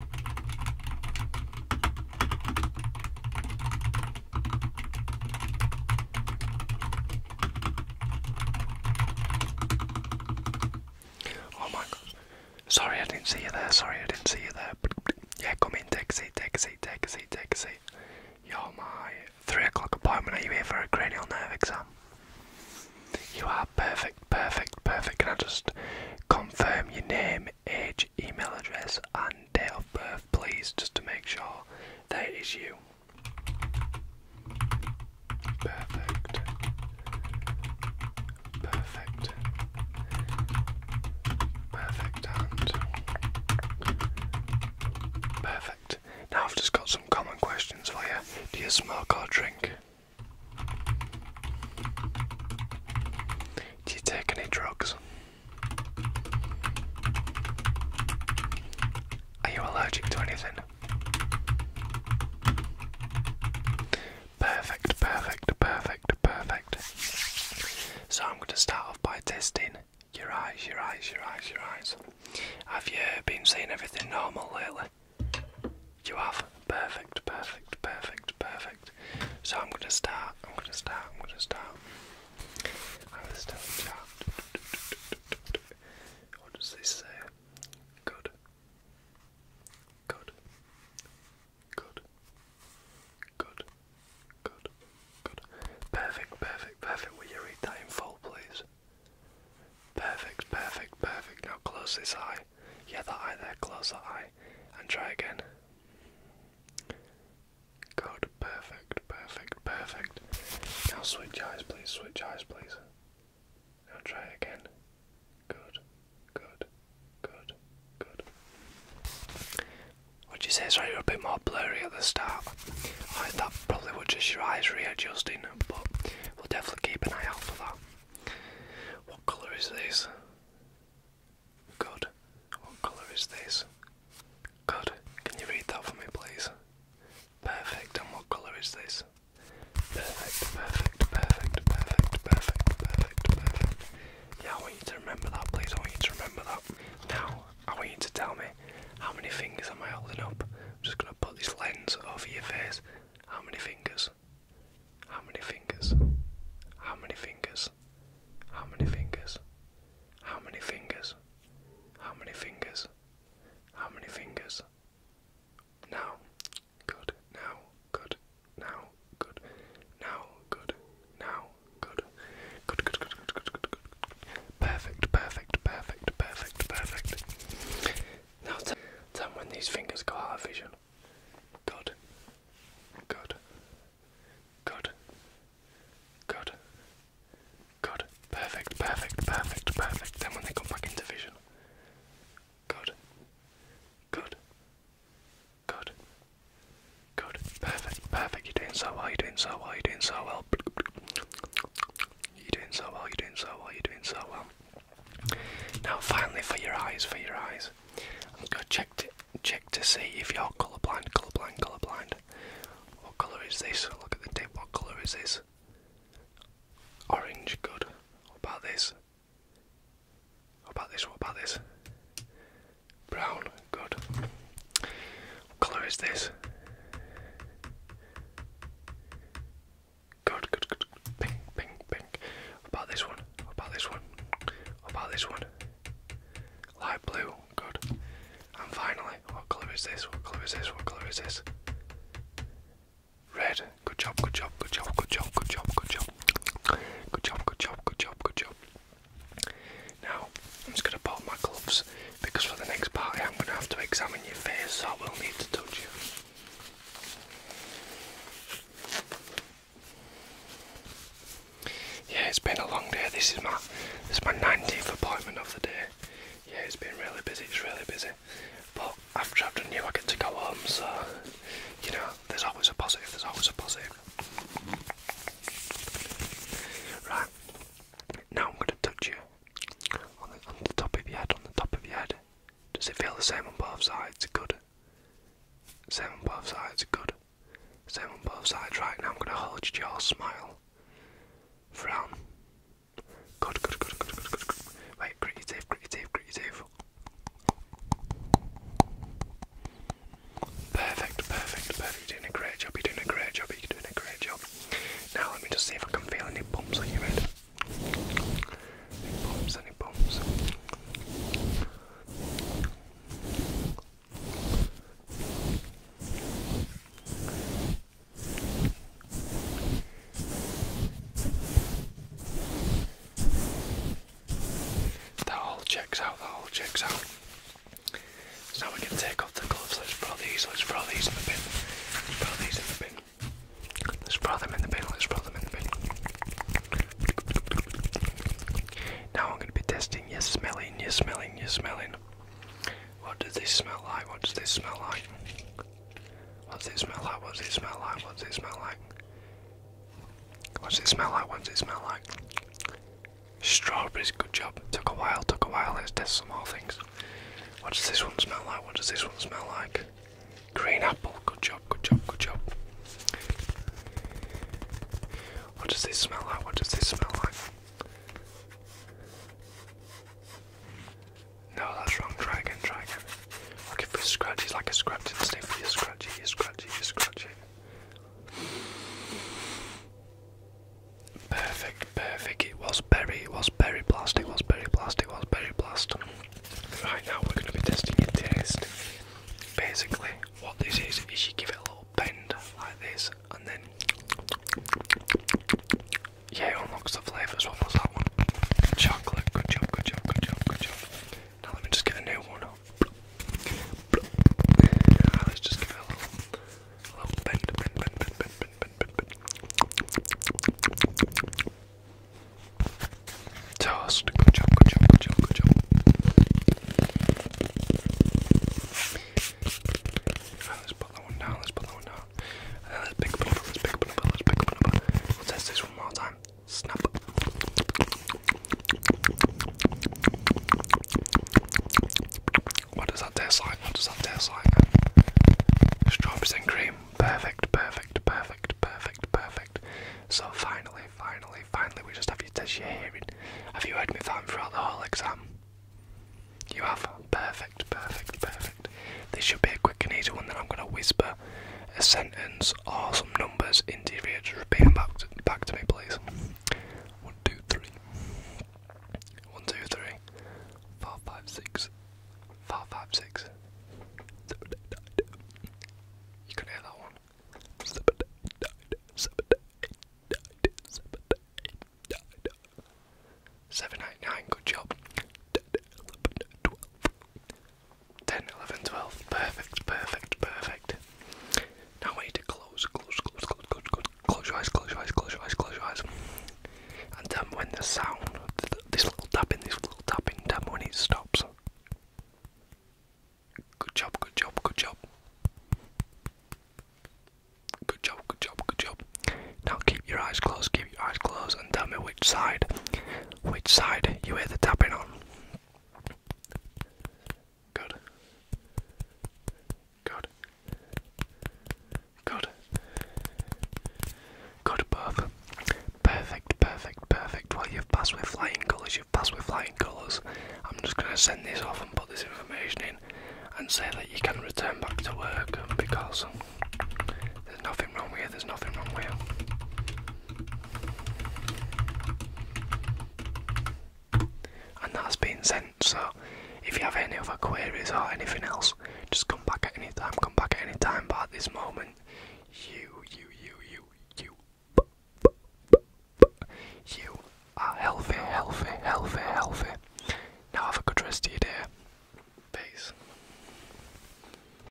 Oh my god. Sorry I didn't see you there, sorry I didn't see you there. Yeah, come in, taxi, taxi, taxi, taxi. You're my three o'clock appointment. Are you here for a cranial nerve exam? You are perfect, perfect, perfect. Can I just confirm your name, age, email address, and date of birth, please, just to make sure that it is you? Perfect. Perfect. Perfect and perfect. Now I've just got some common questions for you. Do you smoke or drink? Do you take any drugs? Are you allergic to anything? Perfect, perfect, perfect, perfect. So I'm going to start off by testing your eyes, your eyes, your eyes, your eyes. Have you been seeing everything normal lately? You have perfect, perfect, perfect, perfect. So I'm gonna start. I'm gonna start. I'm gonna start. I will still start. What does this say? Good. Good. Good. Good. Good. Good. Perfect. Perfect. Perfect. Will you read that in full, please? Perfect, perfect, perfect. Now close this eye. Yeah, that eye there, close that eye. And try again. Good, perfect, perfect, perfect. Now switch eyes, please, switch eyes, please. Now try it again. Good, good, good, good. What'd you say? Sorry, you're a bit more blurry at the start. Right, that probably was just your eyes readjusting, but we'll definitely keep an eye out for that. What colour is this? Good. What colour is this? Good. Can you read that for me, please? Perfect. And what colour is this? Perfect, perfect, perfect, perfect, perfect, perfect, perfect. Yeah, I want you to remember that, please. I want you to remember that. Now, I want you to tell me how many fingers am I holding up. I'm just going to put this lens over your face how many fingers? How many fingers? How many fingers? How many fingers? How many fingers? How many fingers? How many fingers? Now, good, now, good, now, good, now, good, now, good. Good, good, good, good, good, good, good. Perfect, perfect, perfect, perfect, perfect. Now tell when these fingers go out of vision. Good. Good. Good. Good. Good. Perfect, perfect, perfect, perfect. Then when they come back into vision. Good. Good. Good. Good. Perfect. Perfect. You're doing so well. You're doing so well. You're doing so well. You're doing so well, you're doing so well, you're doing so well. Now finally for your eyes, for your eyes. I'm gonna check to check to see if you're colourblind, colourblind, colourblind. What colour is this? Look at the tip, what colour is this? Orange, good. What about this? What about this? What about this? Brown, good. What color is this? Good, good, good. Pink, pink, pink. about this one? about this one? about this one? Light blue. Good. And finally, what color is this? What color is this? What color is this? Red. Good job, good job, good job, good job, good job, good job. Good job, good job, good job, good job. Now, I'm just going to pop my gloves because for the next party I'm going to have to examine your face, so I will need to touch you. Yeah, it's been a long day. This is my this is my 19th appointment of the day. Yeah, it's been really busy. It's really busy. But after I've done you, I get to go home. So you know, there's always a positive. There's always a positive. Right, now I'm going to touch you on the, top of your head, on the top of your head. Does it feel the same on both sides? Good. Same on both sides, good. Same on both sides. Right now I'm going to hold your jaw, smile. Frown. Good, good, good, good, good, good, good. Wait, grit your teeth, Perfect, perfect, perfect. You're doing a great job. You're doing a great job. You're doing a great job. Now let me just see if I can feel any bumps on your head. Any bumps? Any bumps? That all checks out, that all checks out. So now we can take off the gloves. Let's throw these. Let's throw these in the bin. Let's throw these in the bin. Let's throw them in the bin. Let's throw them in the bin. Now I'm going to be testing You're smelling, You're smelling, You're smelling. What does this smell like? What does this smell like? What does it smell like? What's it smell like? What's it smell like? What does it smell like? Strawberries, good job. Took a while, took a while. Let's test some more things. What does this one smell like? What does this one smell like? Green apple, good job, good job, good job. What does this smell like? What does this smell like? No, that's wrong. Try again, try again. Okay, for It's like a scratchy sniff. You scratchy, you scratchy, you scratchy. Perfect, perfect. It was berry, it was berry plastic, it was berry plastic, it was berry plastic. Right now we're gonna be testing your taste. Basically, what this is is you give it a little bend like this and then Yeah, it unlocks the flavours. What was that one? Chocolate, good job, good job, good job, good job. Now let me just get a new one. Let's just give it a little, a little bend, bend, bend, bend, bend, bend, bend, bend. Toast. Good job, good job, good job, good job. Right, let's put that one down, let's put that one down. And then let's pick up another, let's pick up another, let's pick up another. Let's test this one more time. Snap. What does that taste like? What does that taste like? Strawberries cream. Perfect, perfect, perfect, perfect, perfect. So finally, finally, finally, we just have to test your hearing. Have you heard me that throughout the whole exam? You have. Perfect, perfect, perfect. This should be a quick and easy one. Then I'm going to whisper a sentence Awesome. some numbers interior. Just repeat them back to, back to me, please. One, two, three. One, two, three. Four, five, six. Four, five, six. You can hear that one. Seven, eight, nine. Good job. 12, 10, 11, 12. Perfect, perfect, perfect. Now I want you to close, close, close, close, close, close, close your eyes, close your eyes, close your eyes, close your eyes. And then when the sound, th this little tapping, this little tapping, then when it stops. Good job, good job, good job. Good job, good job, good job. Now keep your eyes closed, keep your eyes closed, and tell me which side, which side you hear the tapping on. Good. Good. Good. Good, perfect. Perfect, perfect, perfect. Well, you've passed with flying colours, you've passed with flying colours. I'm just going to send this off and put this information in and say that you can return back to work because there's nothing wrong with you, there's nothing wrong with you. And that's been sent, so if you have any other queries or anything else, just come back at any time, come back at any time, but at this moment, you, you, you, you, you, you are healthy, healthy, healthy, healthy. Now have a good rest of your day. Peace.